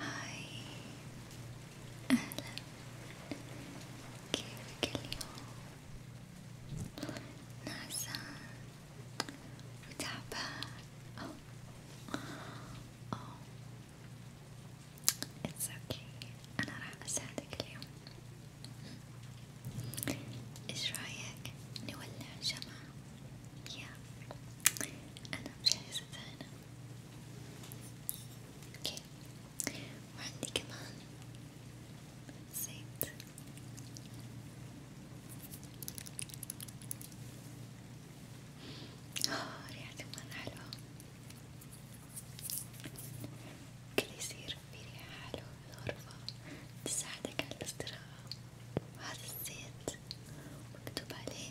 هاي أهلا كيفك اليوم؟ نعسان وتعبان أو أو It's okay أنا راح أساعدك اليوم إيش رأيك نولع شمعة؟ يا yeah. أنا مجهزة هنا اوكي وعندي كمان زيت آه ريحته مرة حلوة كل يصير في ريحة حلوة بالغرفة تساعدك على الاستراحة وهذا الزيت مكتوب عليه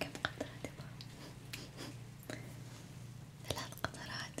كم قطرات ثلاث قطرات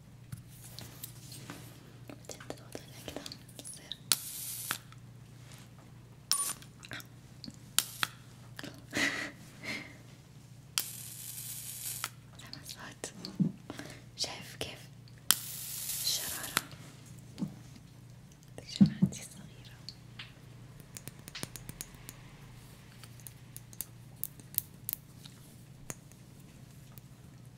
وبعدين تضغط عليها كده تصير سامع الصوت شايف كيف الشرارة شمعتي صغيرة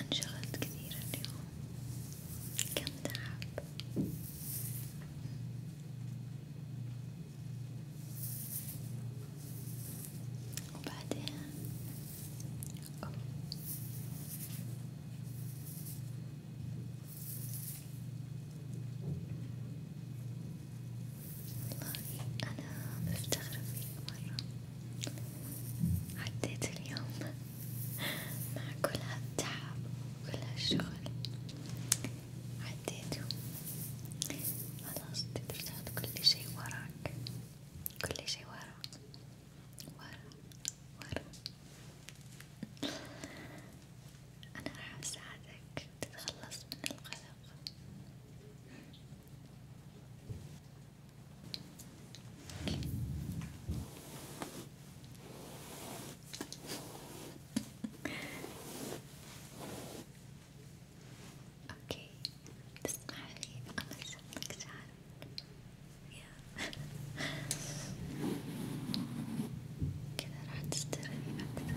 انشغلت كثير اليوم كم تعب وبعدين أوه. والله أنا مفتخرة فيك مرة عديت اليوم مع كل هالتعب وكل هالشغل عديته خلاص تقدر تحط كل شي وراك كل شي ورا ورا ورا أنا راح أساعدك تتخلص من القلق اوكي تسمع لي انا شفتك شعرك كذا راح تسترخي اكثر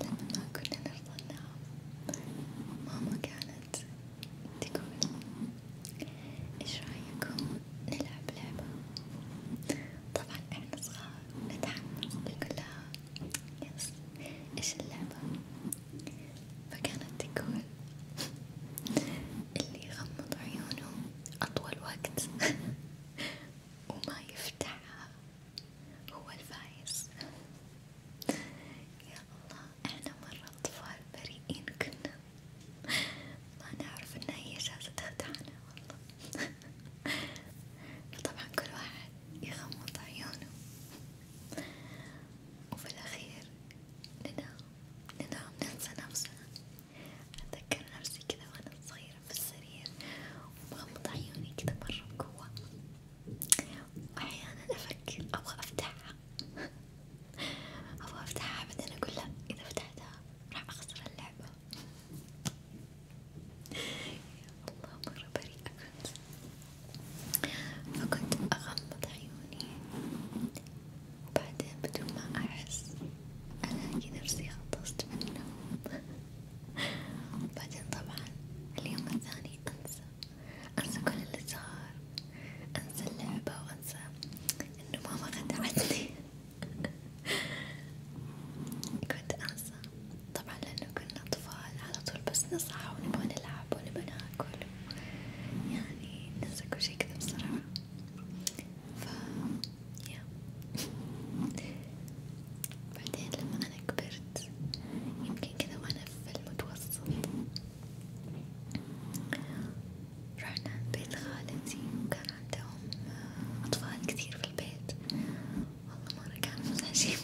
لأننا كنا نرضى النعم ماما كانت تقول ايش رايكم نلعب لعبة طبعا احنا صغار نتحمس نقول لها يس ايش اللعبة فكانت تقول اللي يغمض عيونه أطول وقت وما يفتحها هو الفايز يا الله احنا مرة أطفال بريئين كنا ما نعرف إن هي جالسة تخدعنا والله طبعا كل واحد يغمض عيونه وفي الأخير ننام ننام ننسى نفسنا أتذكر نفسي كذا وأنا صغيرة في السرير ومغمضة عيوني كذا مرة بقوة وأحيانا أفكر أبغى أفتحها أبغى أفتحها بعدين أقول لا إذا فتحتها راح أخسر اللعبة يا الله مرة بريئة كنت فكنت أغمض عيوني وبعدين بدون ما أحس ألاقي نفسي خلصت من النوم بعدين طبعا اليوم الثاني أنسى انسى كل اللي صار انسى اللعبة وانسى انه ماما خدعتني كنت انسى طبعا لانه كنا اطفال على طول بس نصحى ونبغى نلعب ونبغى ناكل يعني ننسى كل شي كذا بسرعة ف يا بعدين لما أنا كبرت يمكن كذا وأنا المتوسط رحنا بيت خالتي وكان عندهم أطفال كتير في البيت والله مرة كانوا مزعجين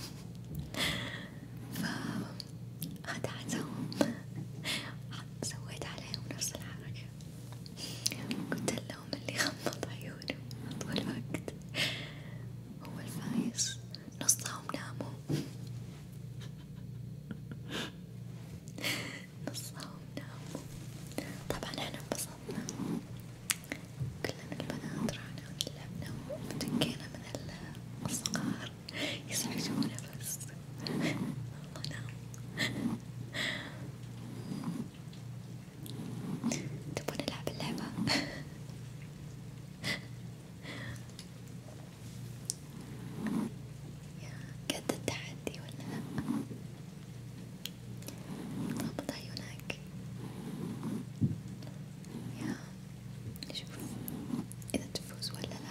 فهدعتهم سويت عليهم نفس الحركة قلت اللي غمض عيونه طول الوقت هو الفايز نصهم ناموا نصهم ناموا طبعا احنا انبسطنا كلنا البنات رحنا ولعبنا وتنكينا من الصغار يزعجونا بس والله نام تبون نلعب اللعبة يا قد التحدي ولا لأ؟ ضبط عيونك يا شوف إذا تفوز ولا لأ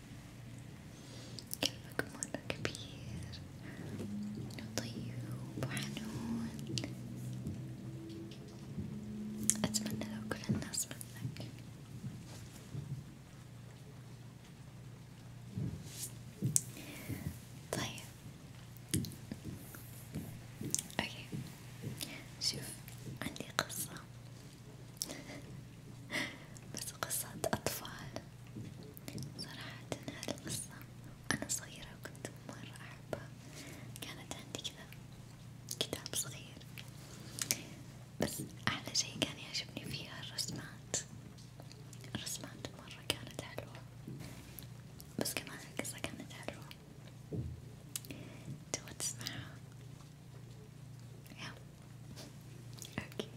كلبك مرة كبير وطيب وحنون أتمنى لو كل الناس مثلك طيب اوكي شوف عندي قصة بس قصة أطفال صراحة هذه القصة وأنا صغيرة وكنت مرة أحبها، كانت عندي كذا كتاب صغير، بس أحلى شي كان يعجبني فيها الرسمات، الرسمات مرة كانت حلوة، بس كمان القصة كانت حلوة، تبغى تسمعها؟ يا أوكي.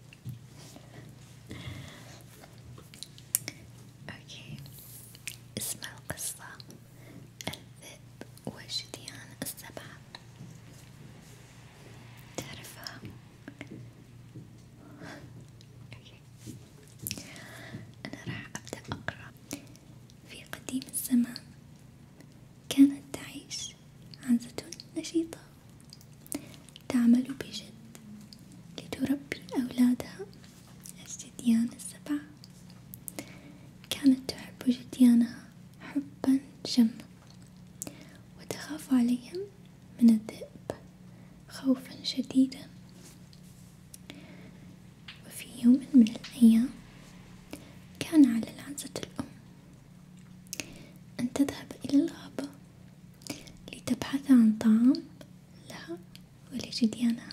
اوكي اسم القصة الذئب وجديان السبعة تعرفها؟ اوكي انا راح ابدأ اقرأ في قديم الزمان كانت تعيش عنزة نشيطة تعمل بجد لتربي أولادها الجديان السبع كانت تحب جديانها حبا جما وتخاف عليهم من الذئب خوفا شديدا وفي يوم من الأيام كان على العنزة الأم أن تذهب إلى الغابة لتبحث عن طعام لها ولجديانها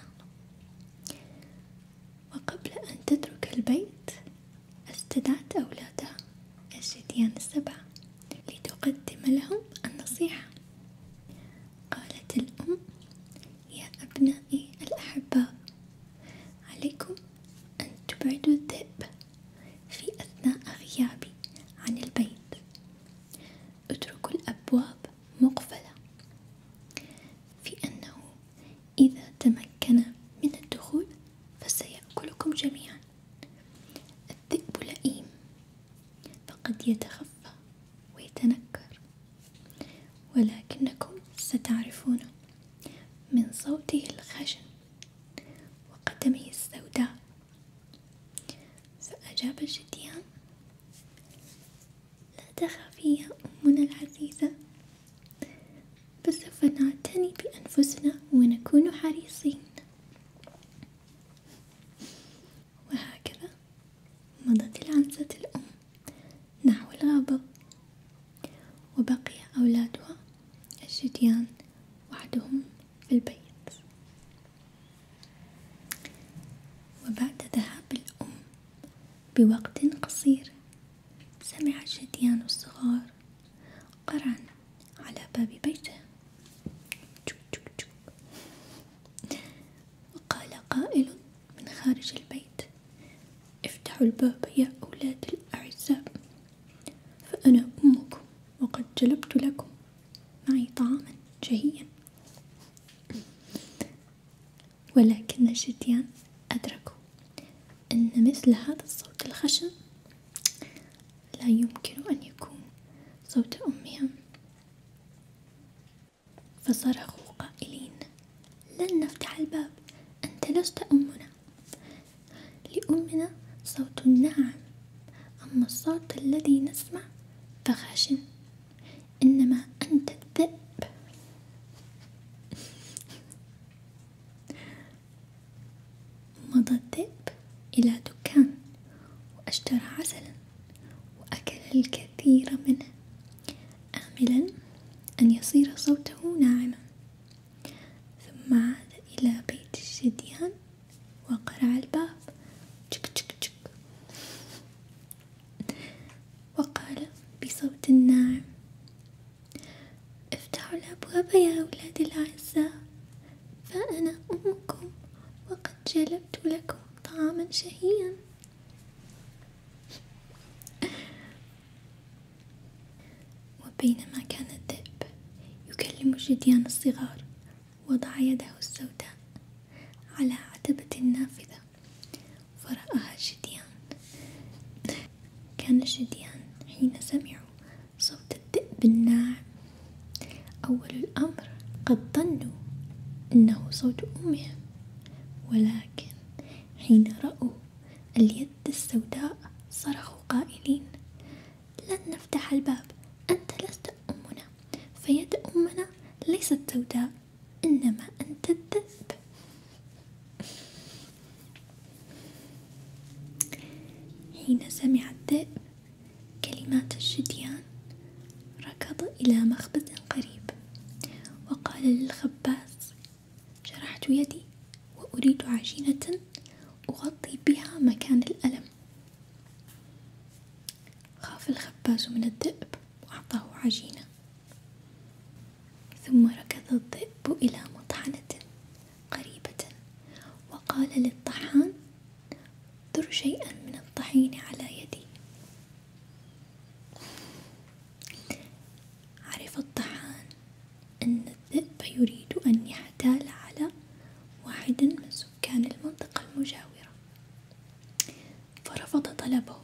وقبل أن تترك البيت استدعت أولادها الجديان السبع لتقدم لهم النصيحة قالت الأم يا أبنائي الأحباء عليكم أن تبعدوا الذئب في أثناء غيابي عن البيت اترك الأبواب مقفلة في أنه إذا تمكن من الدخول فسيأكلكم جميعا الذئب لئيم فقد يتخفى ويتنكر ولكنكم ستعرفونه من صوته الخشن وقدمه السوداء فأجاب الجديان لا تخافي يا أمنا العزيزة فسوف نعتني بأنفسنا ونكون حريصين وهكذا مضت العنزة الأم نحو الغابة وبقي أولادها الجديان وحدهم في البيت وبعد ذهاب الأم بوقت قصير سمع الجديان الصغار قرعا على باب بيته وقال قائل من خارج البيت افتحوا الباب يا أولاد الأعزاء فأنا أمكم وقد جلبت لكم معي طعاما جهيا ولكن الجديان أدركوا أن مثل هذا الصوت الخشن لا يمكن أن يكون صوت أمهم فصرخوا قائلين لن نفتح الباب أنت لست أمنا لأمنا صوت ناعم أما الصوت الذي نسمع فخشن إنما أنت الذئب مضى الذئب إلى دكان وأشترى عسلا وأكل الكثير منه آملا أن يصير صوته ناعما ثم عاد إلى بيت الجديان وقرع الباب تشك تشك تشك وقال بصوت ناعم افتحوا الأبواب يا أولاد الأعزاء فأنا أمكم وقد جلبت لكم طعاما شهيا وبينما كان الذئب يكلم الجديان الصغار وضع يده السوداء على عتبة النافذة فرآها الجديان كان الجديان حين سمعوا صوت الذئب الناعم أول الأمر قد ظنوا إنه صوت أمهم ولكن حين رأوا اليد السوداء صرخوا قائلين لن نفتح الباب أنت لست أمنا فيد أمنا ليست سوداء إنما أنت الذئب حين سمع الذئب كلمات الشديان ركض إلى مخبز قريب وقال للخباز جرحت يدي وأريد عجينة أغطي بها مكان الألم خاف الخباز من الذئب وأعطاه عجينة ثم ركض الذئب إلى مطحنة قريبة وقال للطحان ذر شيئا من الطحين على يدي عرف الطحان أن الذئب يريد أن يحتال على واحد من سكان المنطقة المجاورة فرفض طلبه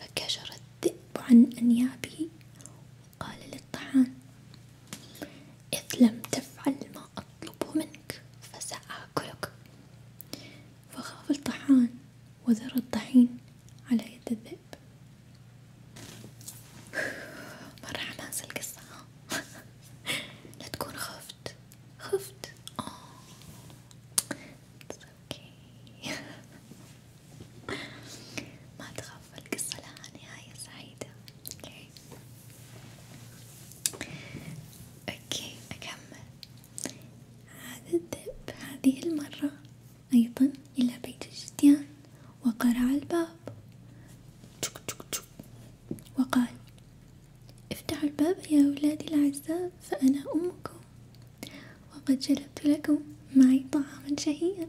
فكشر الذئب عن أنيابه وقال للطحان إذ لم تفعل ما أطلب منك فسأكلك فخاف الطحان وذر الطحين على يد الذئب مرة حماس القصة ها لا تكون خفت خفت اه اوكي ما تخاف القصة لها نهاية سعيدة اوكي اوكي اكمل هذا الذئب هذه المرة ايضا الى بيت الجديان وقرع الباب وقال افتحوا الباب يا أولادي الأعزاء فأنا أمكم وقد جلبت لكم معي طعاما شهيا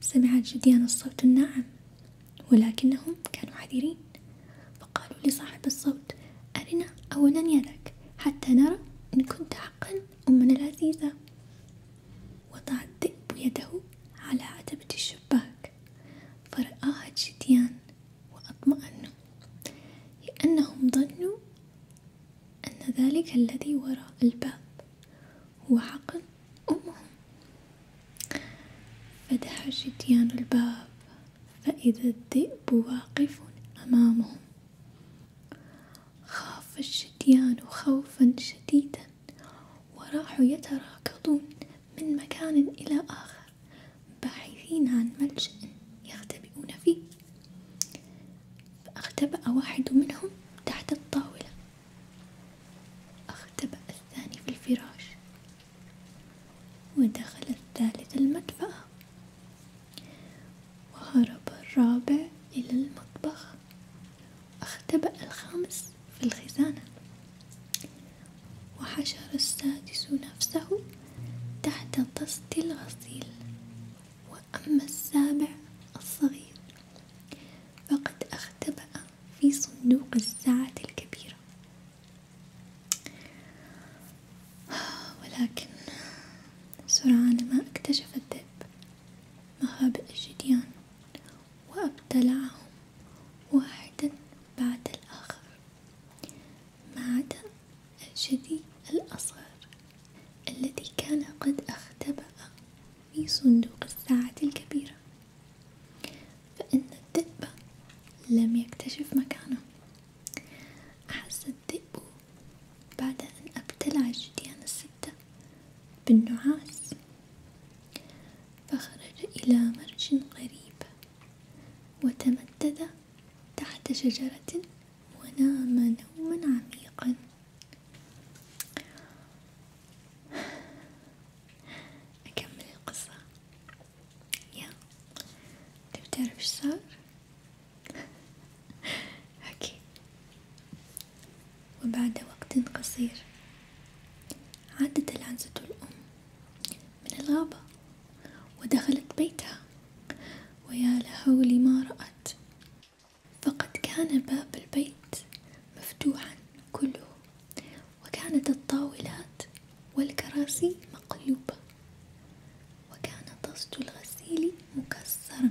سمع الجديان الصوت الناعم ولكنهم كانوا حذرين فقالوا لصاحب الصوت أرنا أولا يدك حتى نرى إن كنت حقا أمنا العزيزة وضع الذئب يده على عتبة الشباك فرآها الجديان وأطمأنوا لأنهم ظنوا أن ذلك الذي وراء الباب هو حقل أمهم فتح الشتيان الباب فإذا الذئب واقف أمامهم خاف الشتيان خوفا شديدا وراحوا يتراكضون من مكان إلى آخر باحثين عن ملجأ يختبئون فيه فاختبأ واحد منهم تحت الطاولة اختبأ الثاني في الفراش ودخل الثالث المدفأة وهرب الرابع إلى المطبخ اختبأ الخامس في الخزانة وحشر السادس نفسه تحت طست الغسيل وأما السابع الصغير فقد اختبأ في صندوق الساعة الكبيرة ولكن سرعان ما اكتشف الذئب مخابئ الجديان وأبتلعهم واحدا بعد الآخر ما عدا الجدي الأصغر الذي كان قد اختبأ في صندوق الساعة الكبيرة فإن الذئب لم يكتشف مكانه أحس الذئب بعد أن ابتلع الجديان الستة بالنعاس فخرج إلى مرج قريب وتمدد تحت شجرة ونام نوما عميقا أكمل القصة يا تبي تعرف ايش صار حكي وبعد وقت قصير عادت العنزة الأم من الغابة ودخلت بيتها ويا لهول ما رأت فقد كان باب البيت مفتوحا كله وكانت الطاولات والكراسي مقلوبة وكان طست الغسيل مكسرا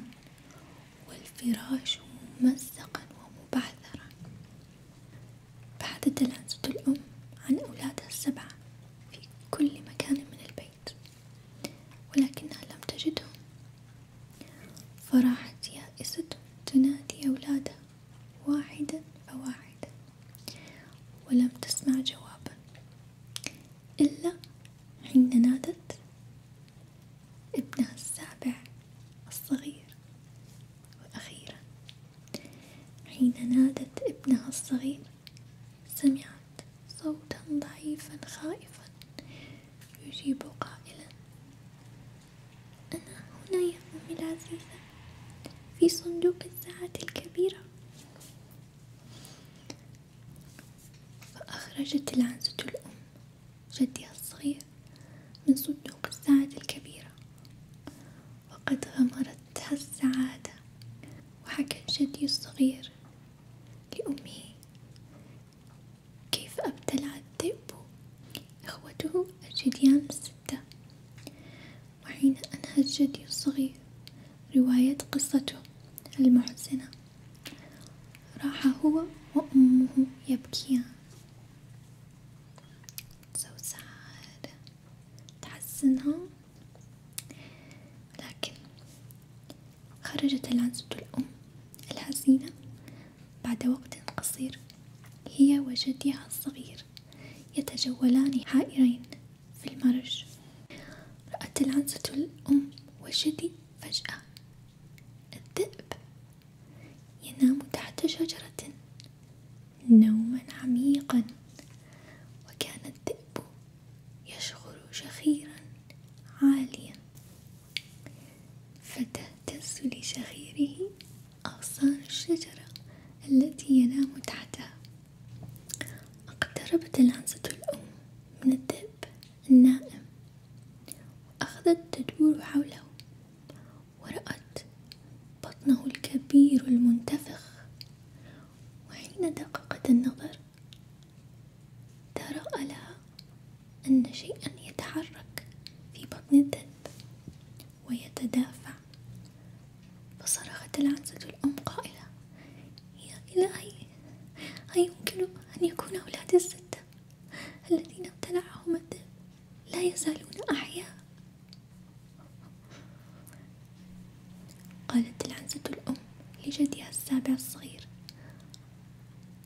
والفراش ممزقا ومبعثرا بعد تلازة الأم عن أولادها السبعة في كل مكان من البيت ولكنها لم تجدهم فراحت يائسة تنادي أولادها واحدا فواحدا ولم تسمع جوابا إلا حين نادت ابنها السابع الصغير وأخيرا حين نادت ابنها الصغير سمعت صوتا ضعيفا خائفا يجيب قائلا أنا هنا يا أمي العزيزة في صندوق الساعة الكبيرة فأخرجت العنزة الأم جدي الصغير من صندوق السعادة الكبيرة وقد غمرتها السعادة وحكى جدي الصغير لأمه كيف ابتلع الذئب إخوته الجديان الستة وحين أنهى الجدي الصغير رواية قصته المحزنة راح هو وأمه يبكيان so sad تحزنها لكن خرجت العنزة الأم الحزينة بعد وقت قصير هي وجدها الصغير يتجولان حائرين في المرج رأت العنزة الأم وجدي فجأة الذئب ينام تحت شجرة نوما عميقا وكان الذئب يشغل شخيرا عاليا فتهتز لشخيره أغصان الشجرة التي ينام تحتها اقتربت العنزة الأم من الذئب النائم وأخذت تدور حوله ورأت بطنه الكبير المنتفخ وحين دققت النظر ترأى لها أن شيئا يتحرك في بطن الدب ويتدافع فصرخت العنزة الأم قائلة يا إلهي أيمكن أن يكون أولادي الست الذين ابتلعهم الذئب لا يزالون أحياء قالت العنزة الأم لجدها السابع الصغير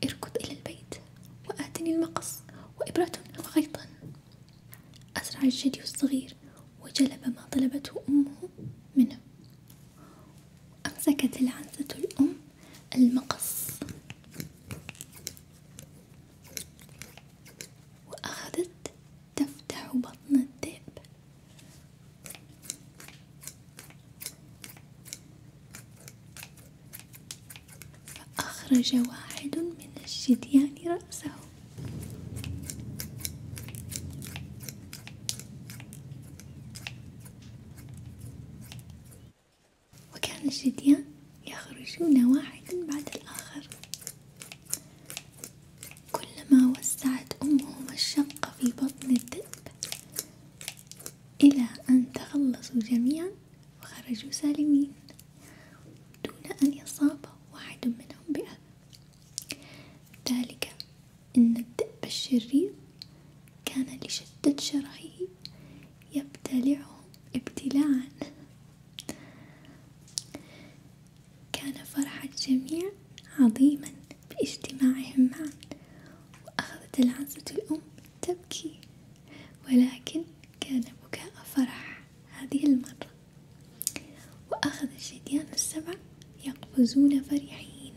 اركض إلى البيت وآتني المقص وإبرة وخيطا أسرع الجدي الصغير وجلب ما طلبته أمه منه أمسكت العنزة الأم المقص وأخذت تفتح بطن الذئب فأخرج واحد من الجديان رأسه وكان الجديان يخرجون واحدا بعد الآخر كلما وسعت أمهم الشقة في بطن الذئب إلى أن تخلصوا جميعا وخرجوا سالمين دون أن يصاب واحد منهم بأذى ذلك إن الذئب الشرير كان لشدة شرهه يبتلعهم ابتلاعا كان فرح الجميع عظيما باجتماعهم معا وأخذت العنزة الأم تبكي ولكن كان بكاء فرح هذه المرة وأخذ الجديان السبع يقفزون فرحين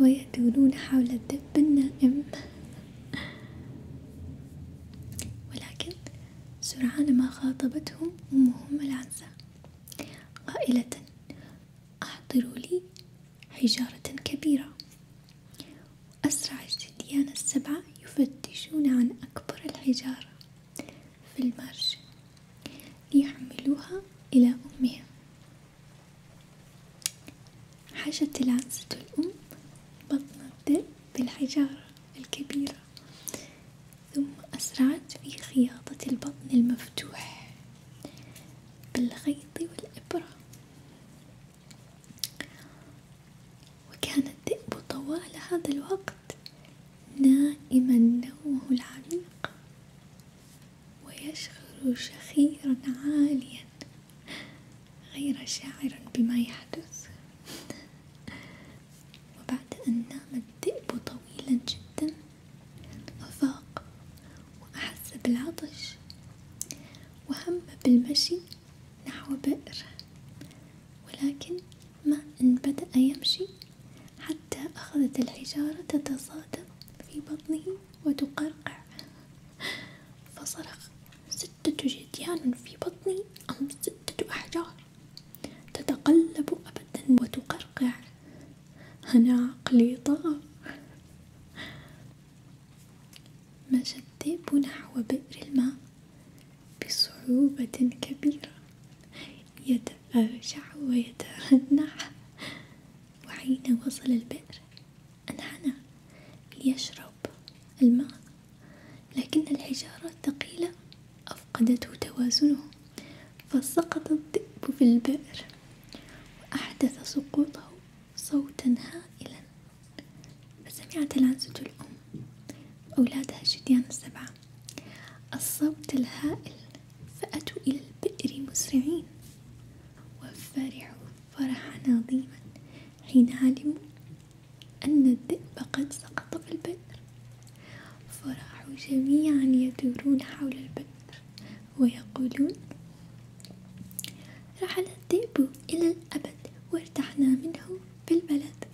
ويدورون حول الدب النائم ولكن سرعان ما خاطبتهم أمهم العنزة قائلة أحضروا لي حجارة كبيرة وأسرع الجديان السبعة يفتشون عن أكبر الحجارة في المرج ليحملوها إلى أمهم حشت العنزة الأم بطن الذئب بالحجارة الكبيرة ثم أسرعت في خياطة البطن المفتوح بالخيط والإبرة وكان الذئب طوال هذا الوقت نائما نومه العميق ويشغل شخيرا عاليا غير شاعر بما يحدث وبعد أن نام الذئب طويلا جدا أفاق وأحس بالعطش وهم بالمشي نحو بئر ولكن ما إن بدأ يمشي حتى أخذت الحجارة تتصادم في بطنه وتقرقع فصرخ ستة جديان في بطني أم ستة أحجار تتقلب أبدا وتقرقع أنا عقلي طغى مشى الذئب نحو بئر الماء بصعوبة كبيرة يتأرجع ويترنح وحين وصل البئر أنحنى ليشرب الماء لكن الحجارة الثقيلة أفقدته توازنه فسقط الذئب في البئر وأحدث سقوطه صوتا هائلا فسمعت العنزة الأم وأولادها شديان السبعة الصوت الهائل فأتوا إلى البئر مسرعين وفرحوا فرحا عظيما حين علموا أن الذئب قد سقط في البئر فراحوا جميعا يدورون حول البئر ويقولون رحل الذئب إلى الأبد وارتحنا منه في البلد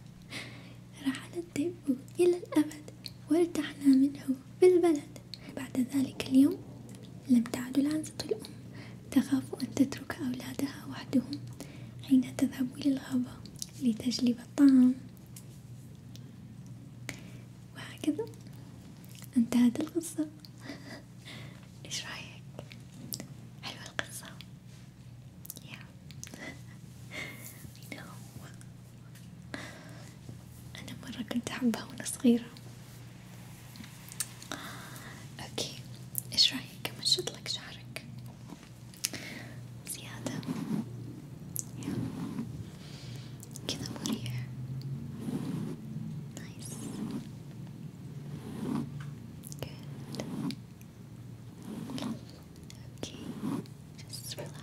رحل الذئب إلى الأبد وارتحنا منه في البلد بعد ذلك اليوم لم تعد العنزة الأم تخاف أن تترك أولادها وحدهم حين تذهب إلى الغابة لتجلب الطعام وهكذا انتهت القصة ايش رايك حلوة القصة yeah. أنا مرة كنت أحبها وأنا صغيرة أوكي إيش رأيك أمشط لك شعرك زيادة كذا مريح نايس جود Okay, just relax.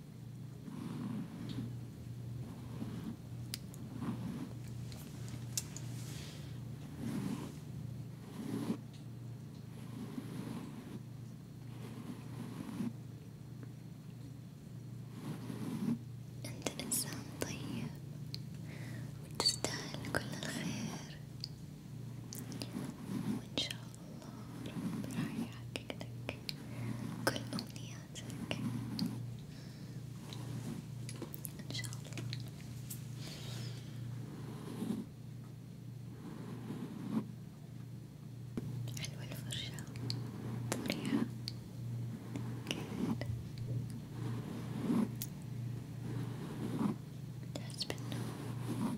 أنت إنسان طيب وتستاهل كل الخير وإن شاء الله راح يحقق لك كل أمنياتك إن شاء الله. حلوة الفرشة مريحة تحس بالنوم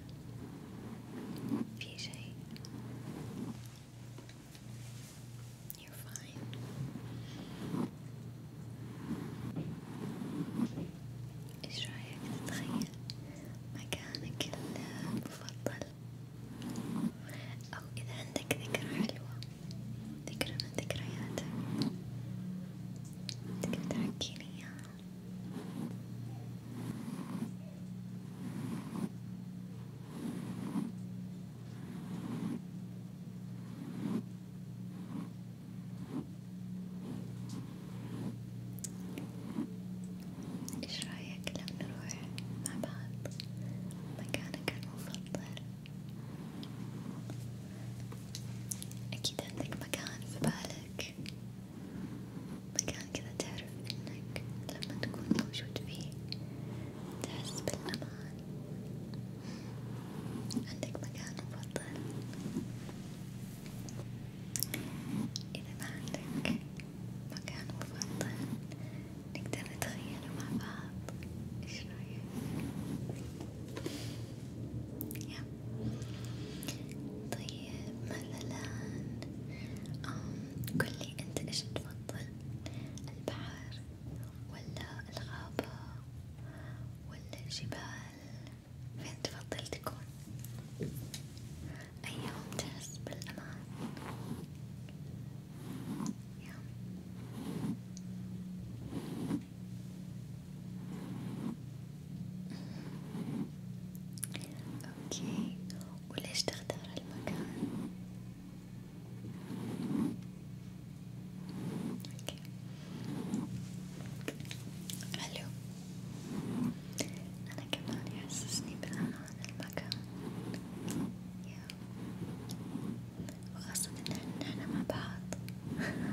في شيء You're fine ايش رايك تتخيل مكانك المفضل او اذا عندك ذكرى حلوة ذكرى من ذكرياتك تقدر تحكيني اياها ايش رايك لو نروح مع بعض مكانك المفضل اكيد عندك مكان في بالك مكان كذا تعرف إنك لما تكون موجود فيه تحس بالأمان، عندك مكان مفضل، إذا ما عندك مكان مفضل نقدر نتخيله مع بعض، إيش رأيك؟ طيب طيب مثلا قولي أنت إيش تفضل البحر ولا الغابة ولا الجبال فين تفضل تكون أيهم تحس بالأمان يا. أوكي وليش تختار المكان؟ أوكي. حلو أنا كمان يحسسني بالأمان المكان يا وخاصة إن إحنا مع بعض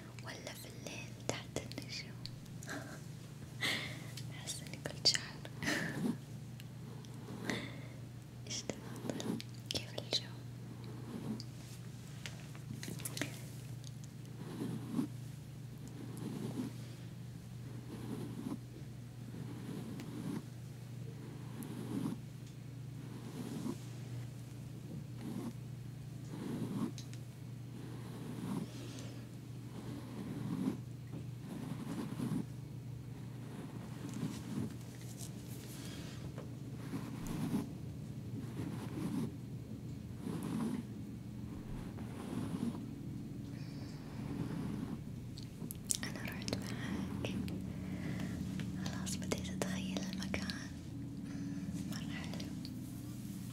ولا في الليل تحت النجوم أحس إني قلت شعر إيش تفضل؟ كيف الجو؟ أنا رحت معاك خلاص بديت أتخيل المكان مرة حلو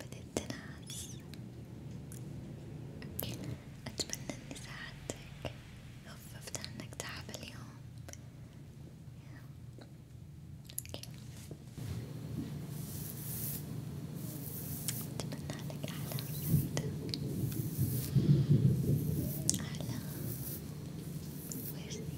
بدت ناس أتمنى إني ساعدتك خففت عنك تعب اليوم أتمنى لك أحلى سعيدة أحلى ويرسي